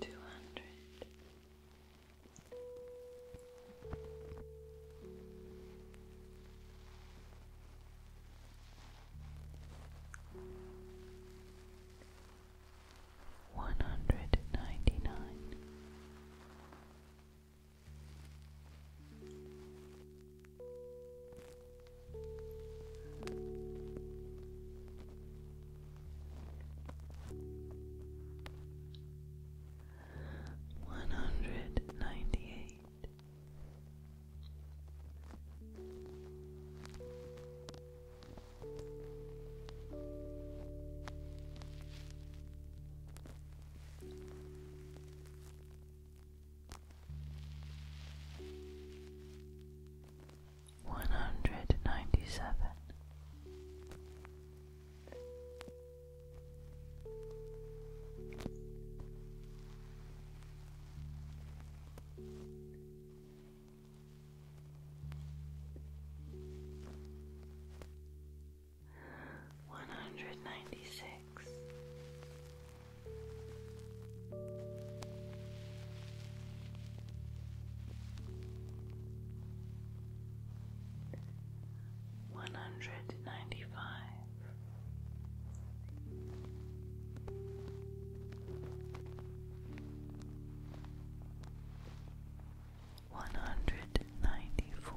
two hundred. One hundred ninety nine, one hundred ninety eight. One one hundred ninety seven. One hundred ninety six, one hundred ninety five. One hundred ninety four,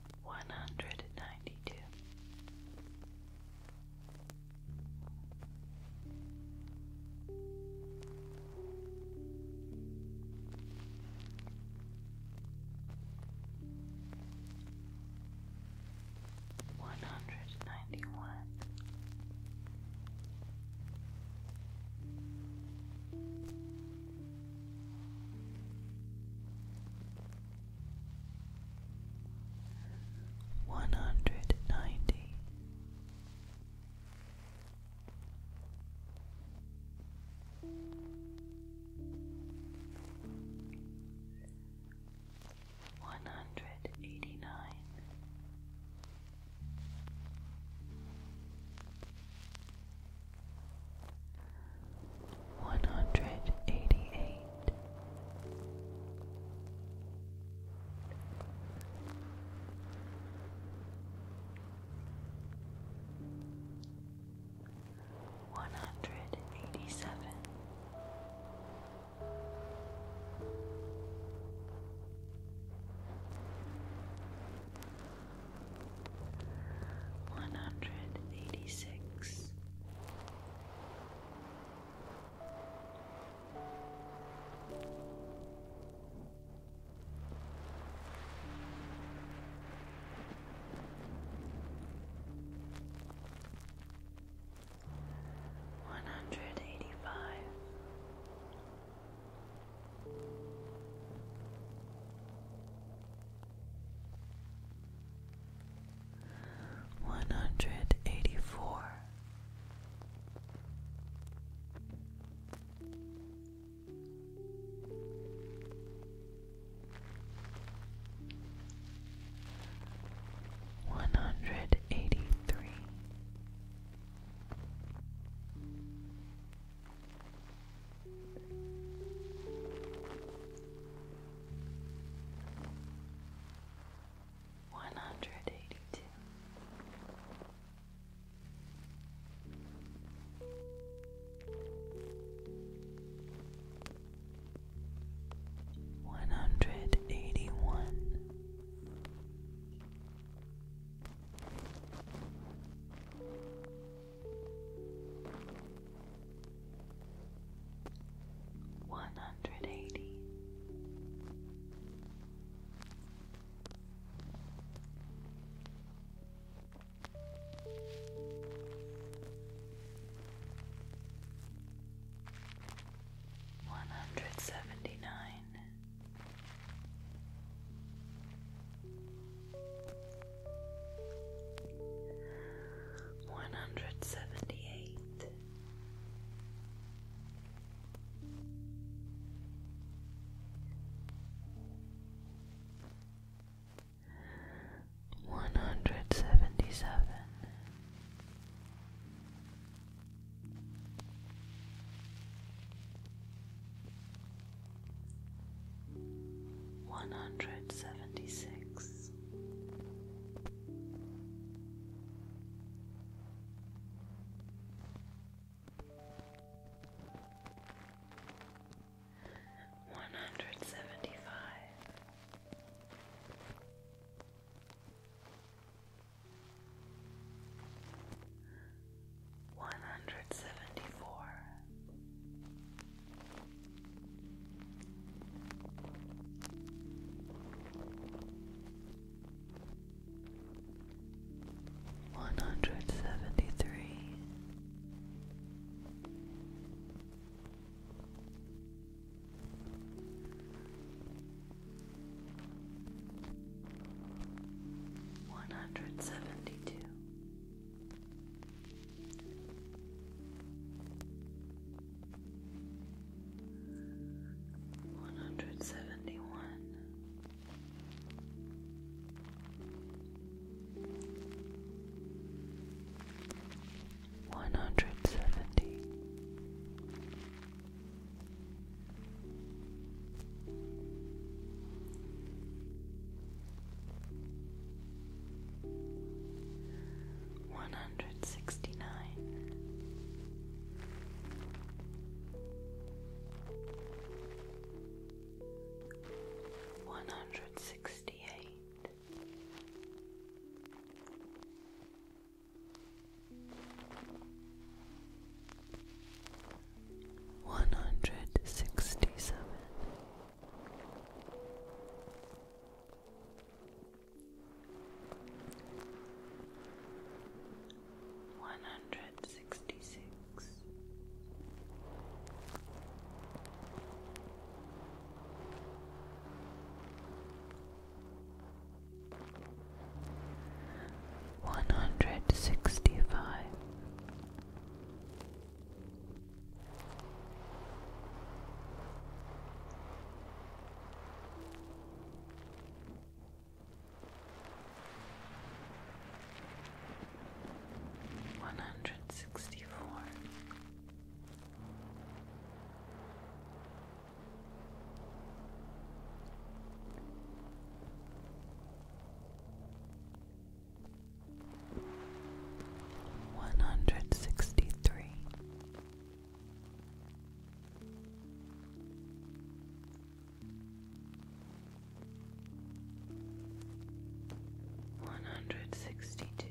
one hundred and ninety two. One hundred ninety one, one hundred ninety. One hundred eighty nine, one hundred eighty eight. One hundred eighty seven, one hundred eighty six, one hundred eighty five. One one hundred eighty four. One hundred eighty three, one hundred eighty two. One hundred eighty one, one hundred eighty. One hundred seventy nine, one hundred seventy eight. One hundred seventy seven, one hundred seventy six, this. One hundred seventy five, one hundred seventy four, one hundred seventy three, one hundred seventy two, one hundred seventy one, one hundred seventy, one hundred sixty nine, one hundred sixty eight. One hundred sixty seven, one hundred sixty six, one hundred sixty five. One hundred sixty four one hundred sixty three. One hundred sixty two,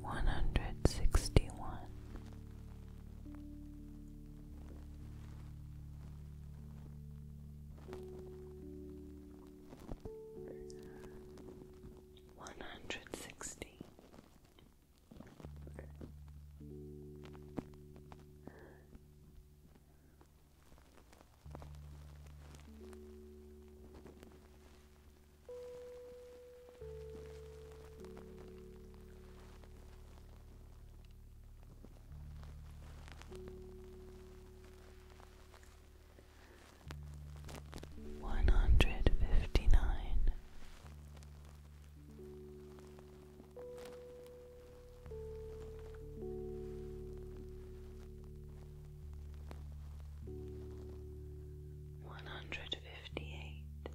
one hundred sixty one, one hundred sixty one hundred fifty nine, one hundred fifty eight.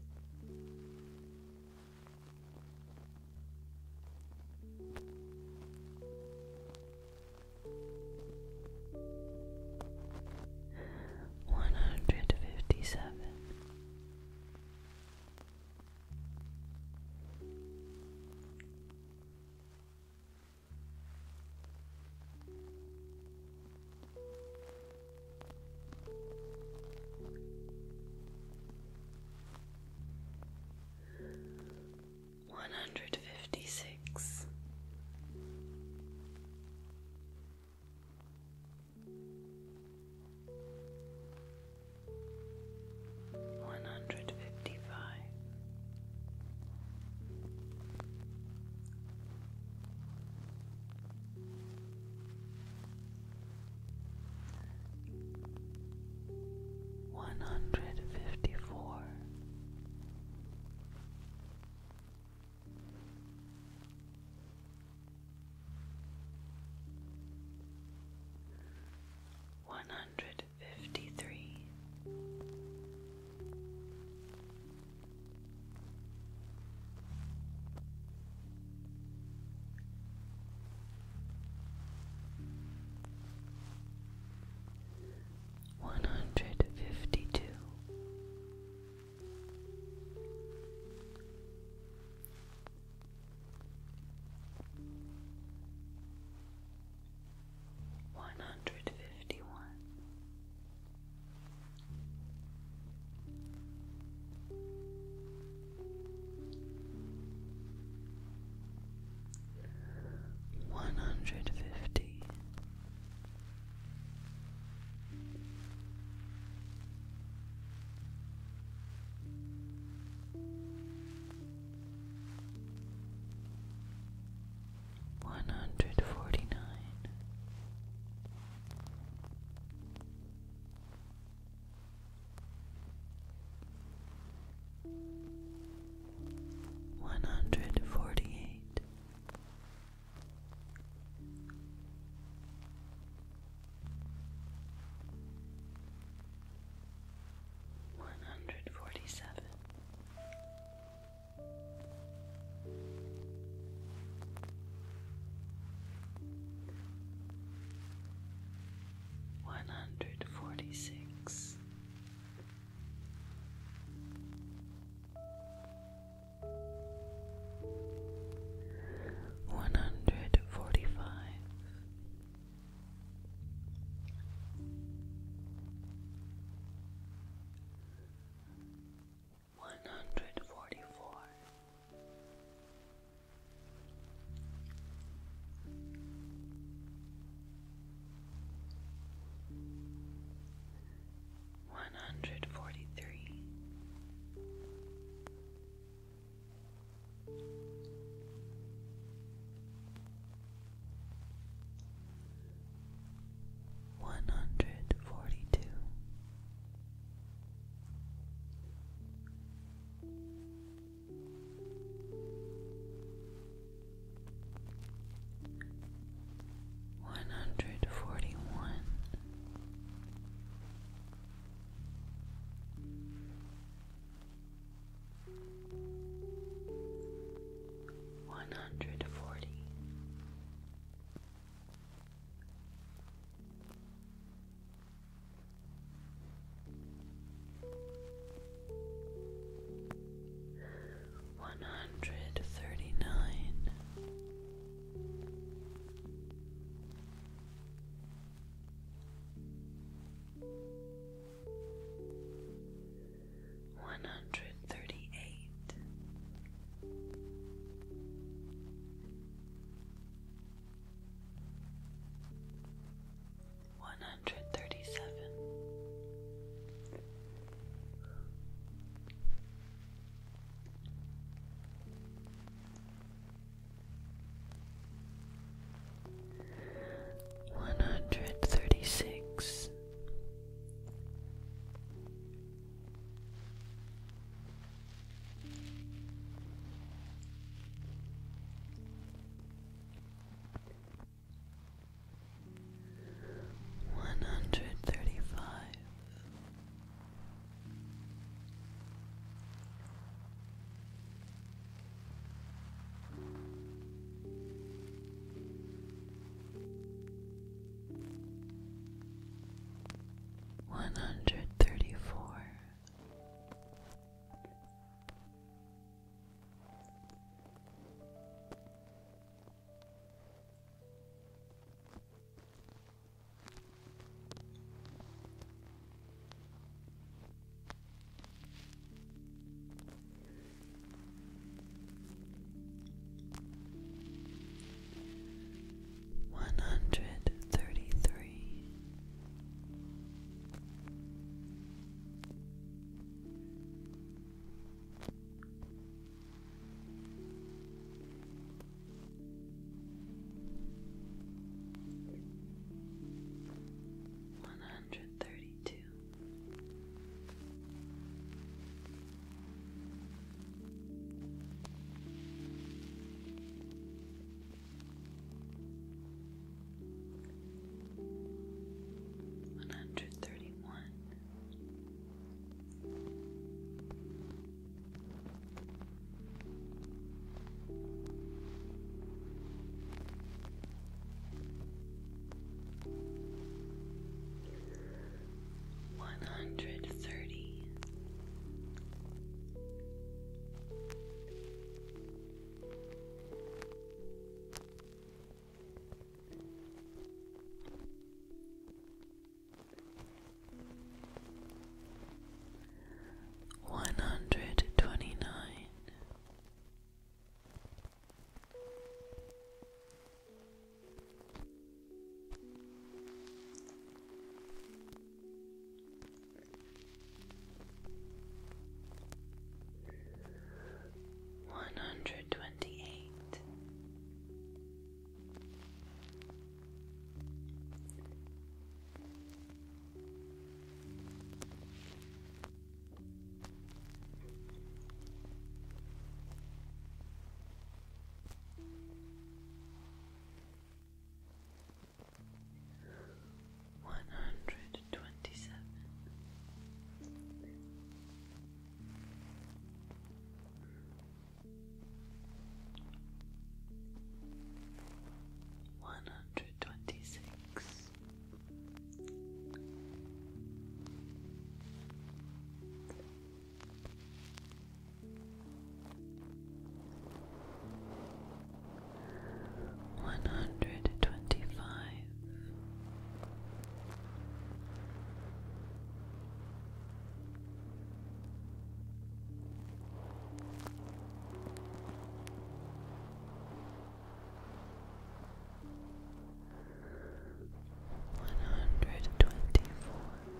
One hundred fifty seven, one hundred fifty six. One hundred fifty five, one hundred fifty four. One hundred fifty three, one hundred fifty two. One hundred fifty one, one hundred fifty. One hundred forty nine, one hundred forty eight. One hundred forty seven, one hundred forty six. One hundred forty five, one hundred forty four. One hundred forty three, one hundred forty two, one hundred forty one, one hundred forty. One hundred thirty nine, one hundred thirty eight one hundred thirty seven, one hundred thirty six. One hundred thirty five. One one hundred thirty four one hundred thirty three, one hundred thirty two. One hundred thirty one, one hundred thirty. One hundred twenty nine. One hundred twenty eight, one hundred twenty seven. One hundred twenty six, one hundred twenty five. One hundred twenty four,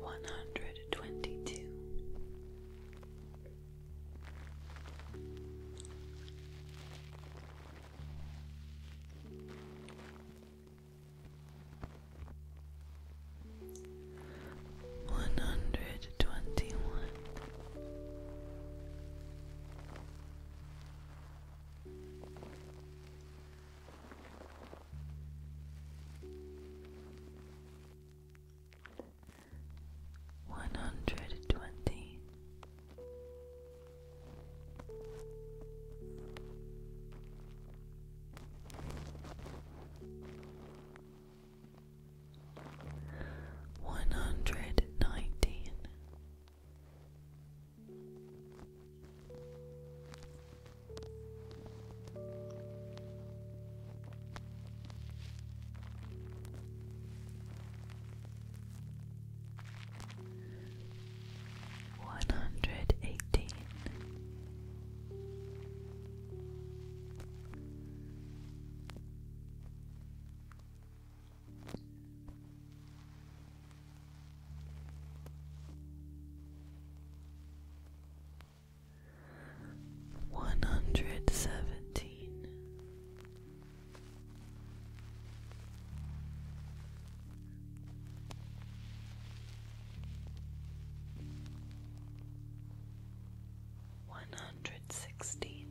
One hundred twenty two, one hundred twenty one. One hundred twenty, one hundred nineteen. One hundred eighteen, one hundred seventeen, one hundred sixteen.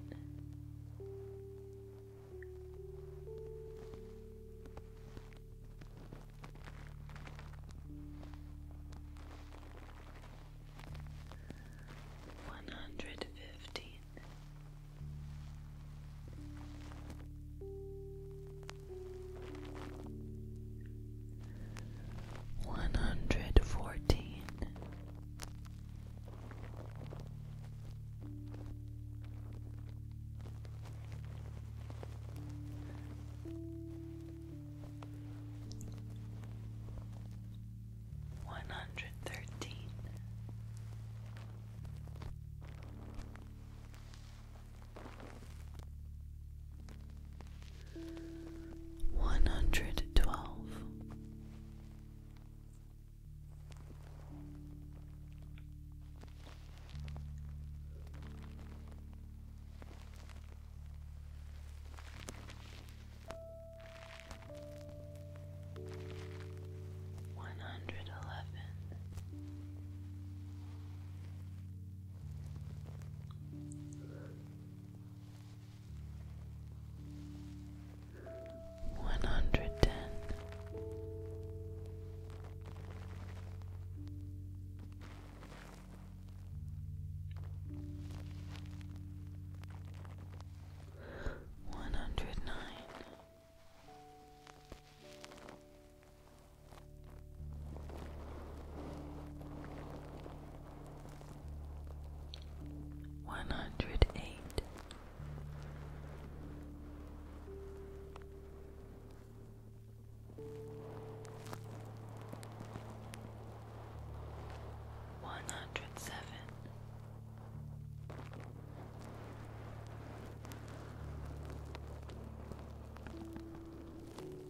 One hundred fifteen, one hundred fourteen. One hundred thirteen, one hundred twelve, one hundred eleven one hundred ten. One hundred nine, one hundred eight, one hundred seven. One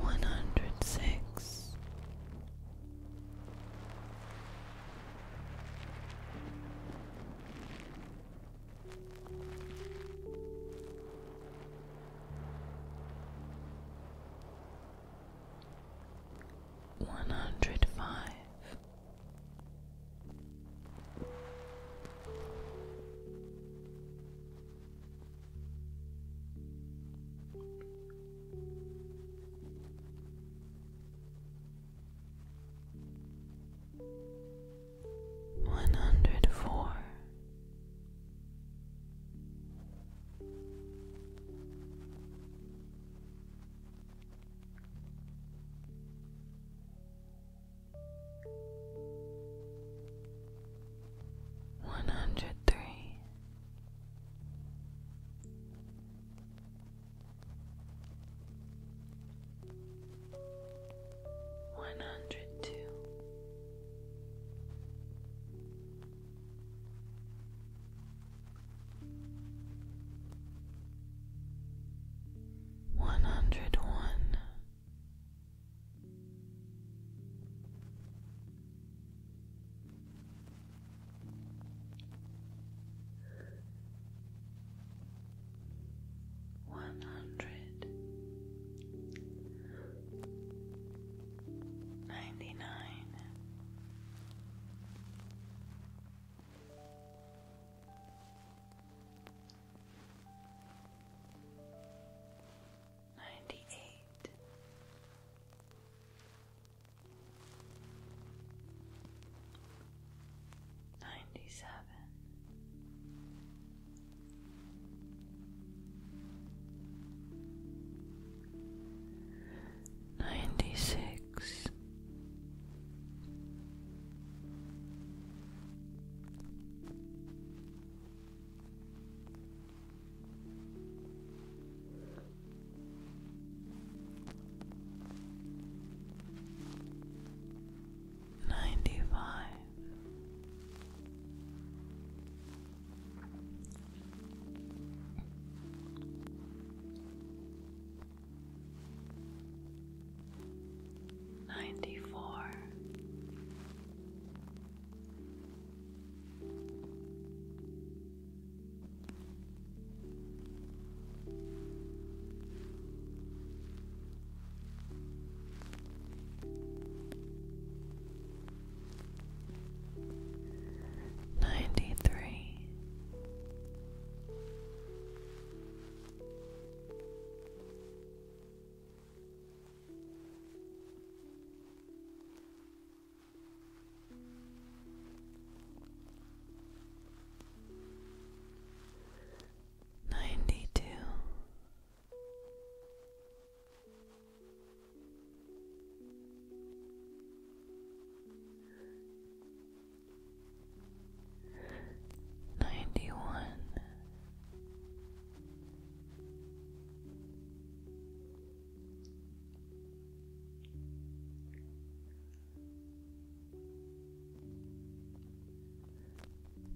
one hundred six. One hundred five, one hundred four, one hundred three, one hundred two. One hundred one, one hundred ninety nine. Ninety-eight, ninety-seven, ninety-six. Ninety five ninety four, ninety three. Ninety two. Ninety-one.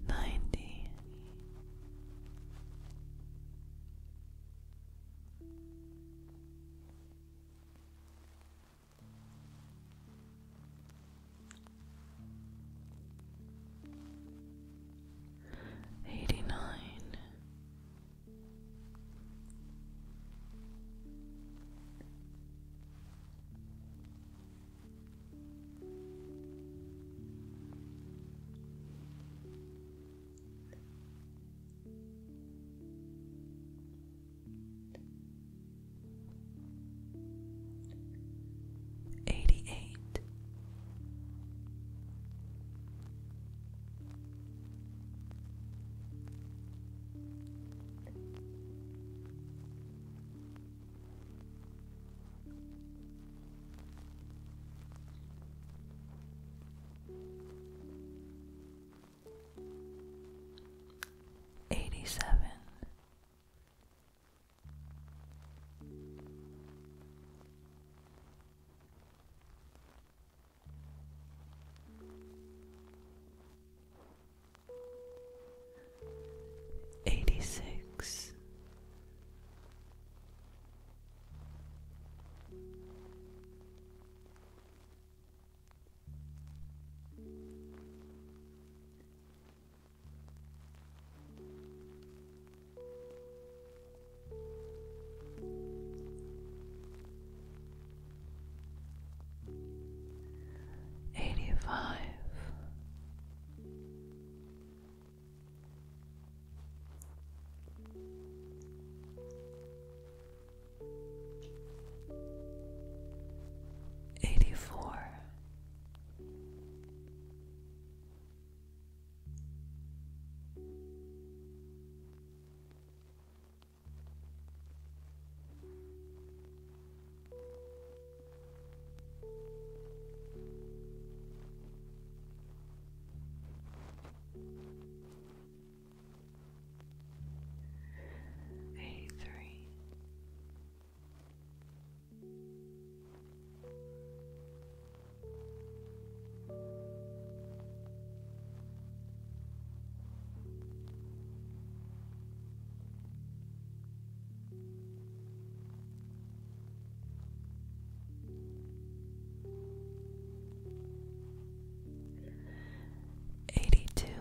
ninety. Ninety Eighty nine, eighty eight, eighty seven. Eighty six, Eighty five. Eighty four, a three Eighty two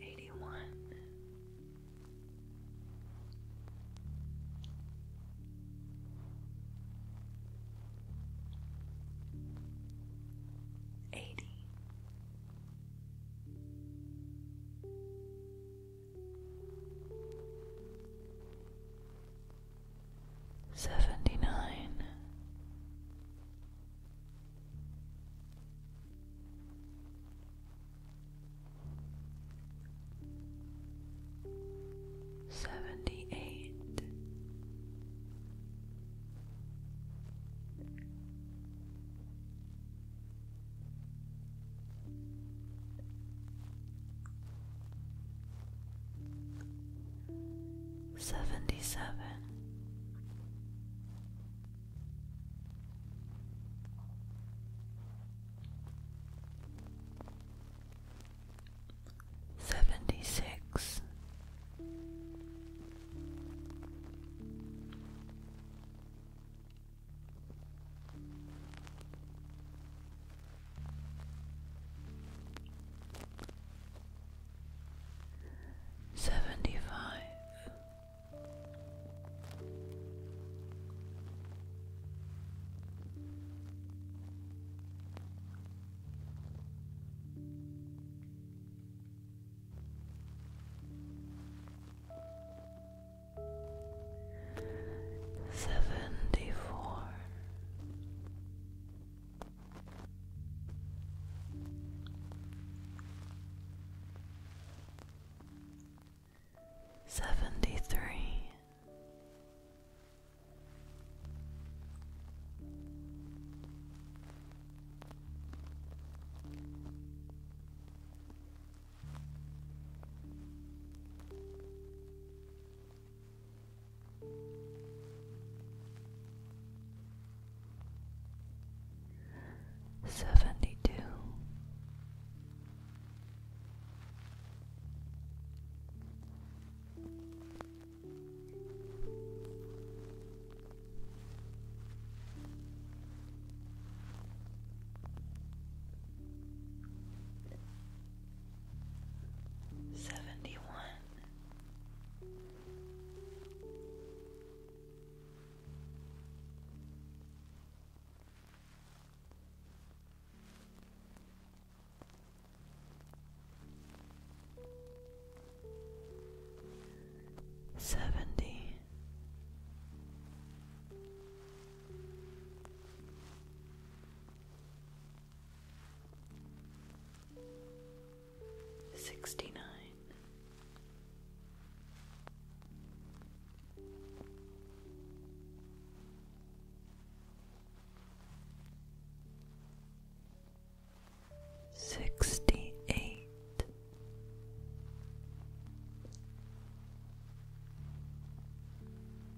Eighty one, eighty, seventy nine, seventy eight. Seventy seven, seventy six, Seventy five, seventy four. Seventy three, Seventy two, seventy one, seventy. 71 Sixty nine. Sixty eight,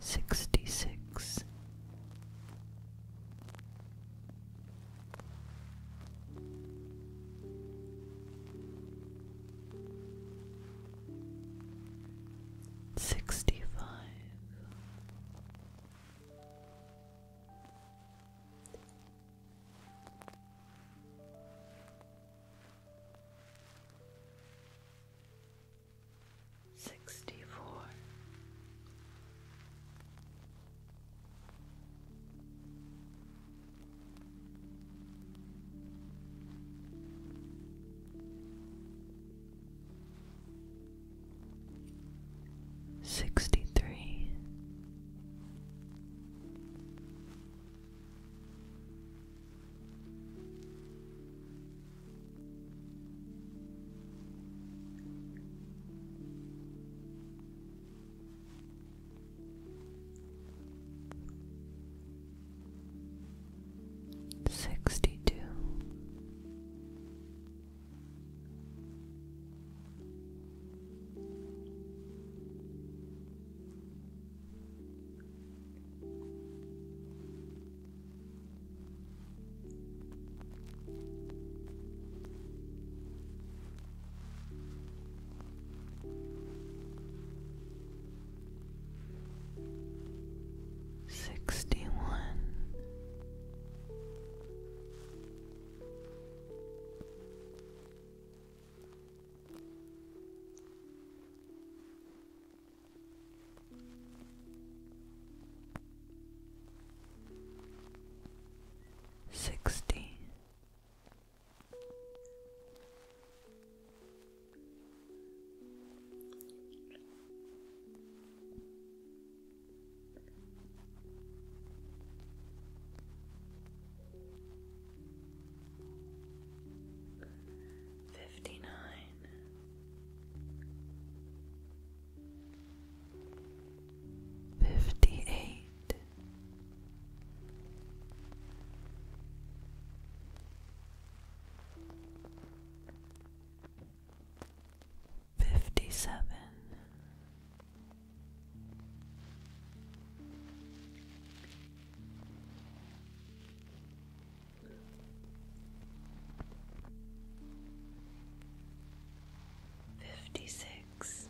Sixty-six. Sixty-five sixty four. Sixty three, Sixty two. Sixty one, Sixty fifty nine Fifty eight, fifty seven fifty six.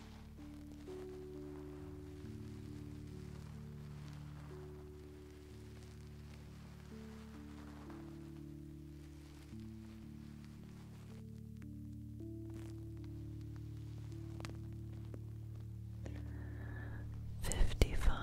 Fifty five,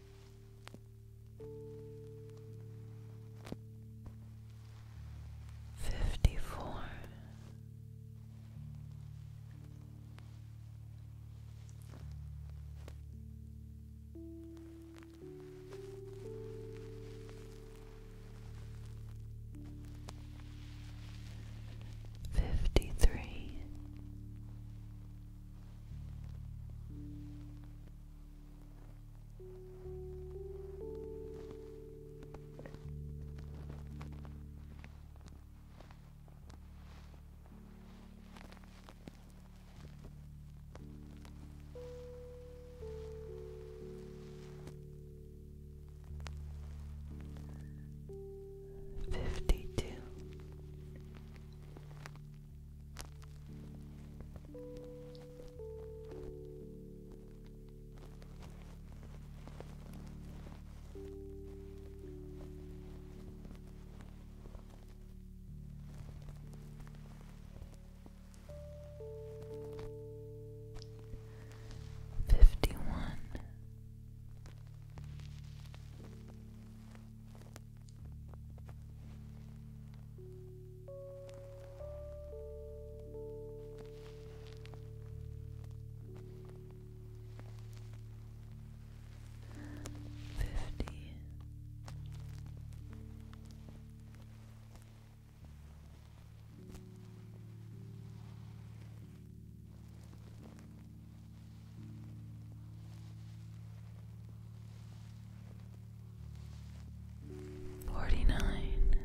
Fifty four, fifty three. Fifty two Fifty one, Fifty. Forty nine,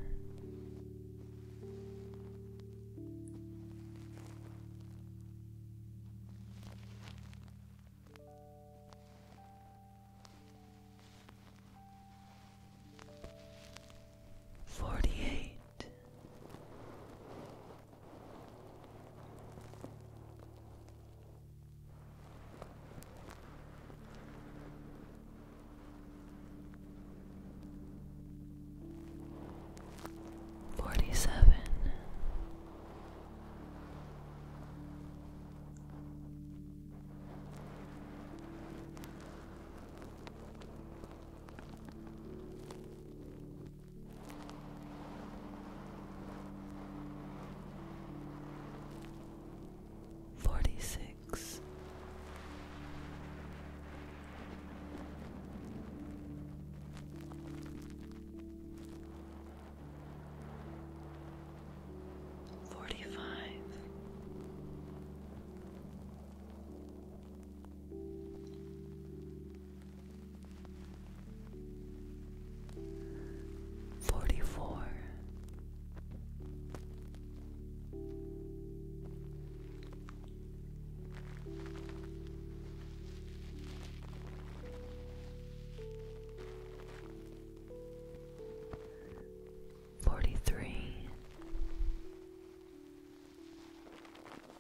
forty eight. Forty seven. Forty six, forty five. Forty-four. Forty-three.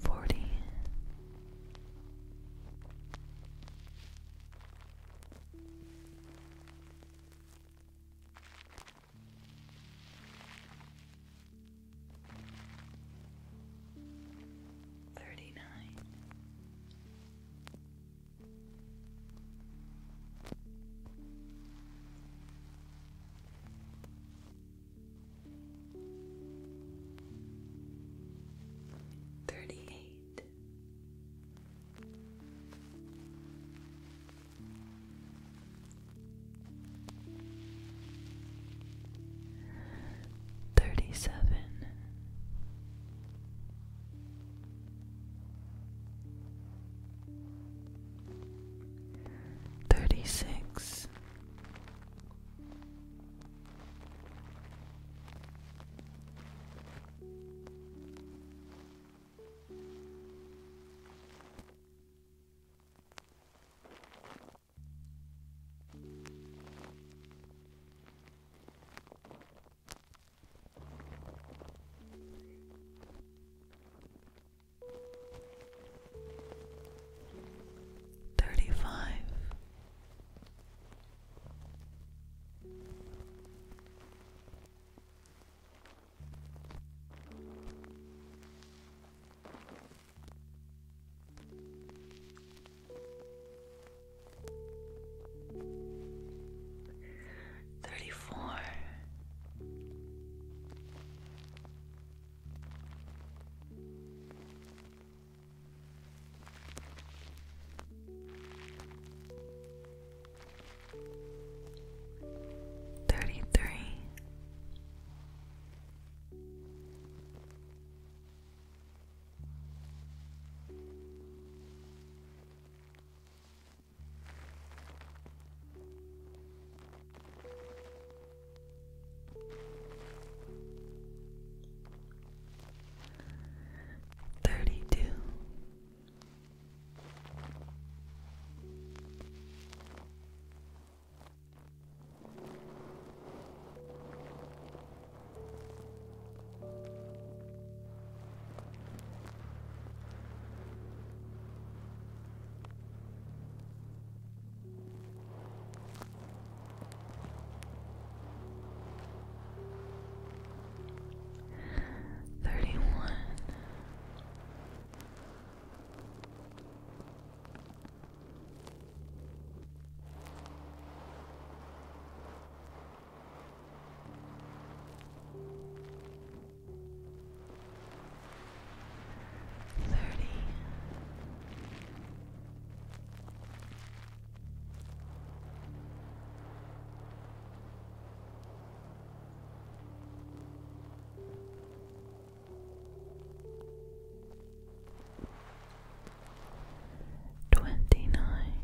Forty Thirty nine Thirty eight. Thirty seven, thirty six, Thirty five thirty four. Thirty three, Thirty-two. Thirty one. Thirty. Twenty nine,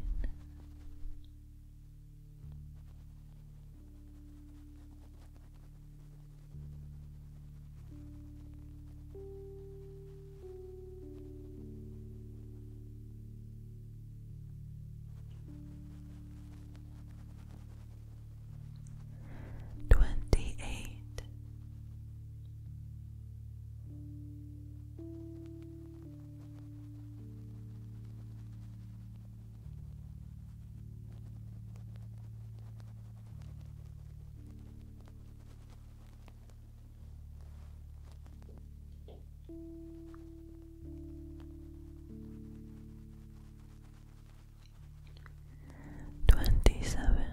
Twenty eight. Twenty seven,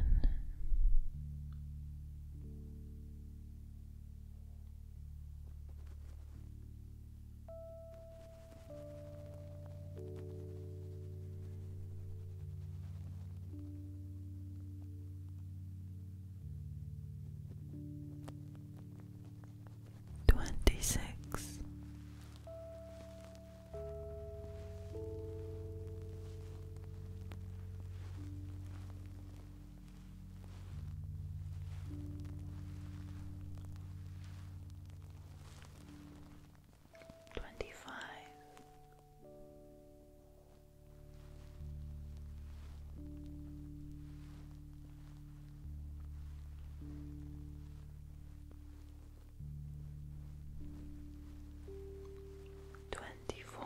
Twenty six. Twenty five. Twenty four,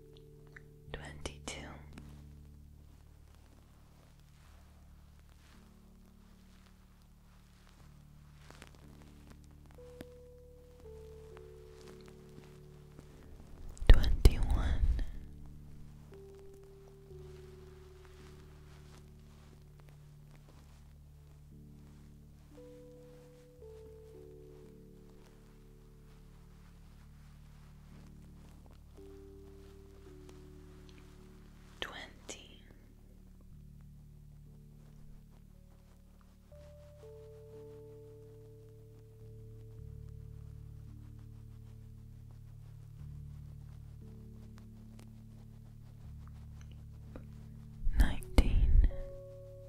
twenty two. Twenty one, Twenty nineteen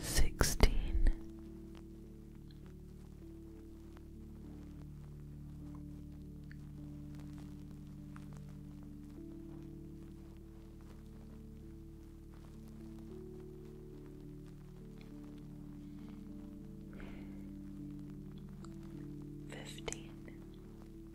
Sixteen fifteen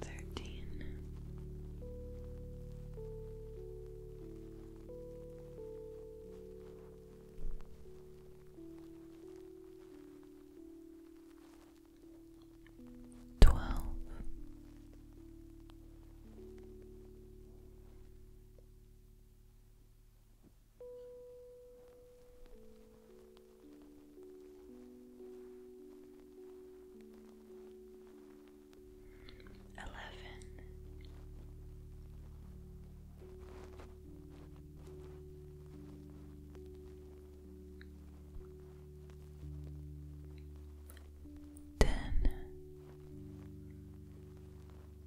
Thirteen. Twelve. Eleven. Ten.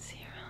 Zero.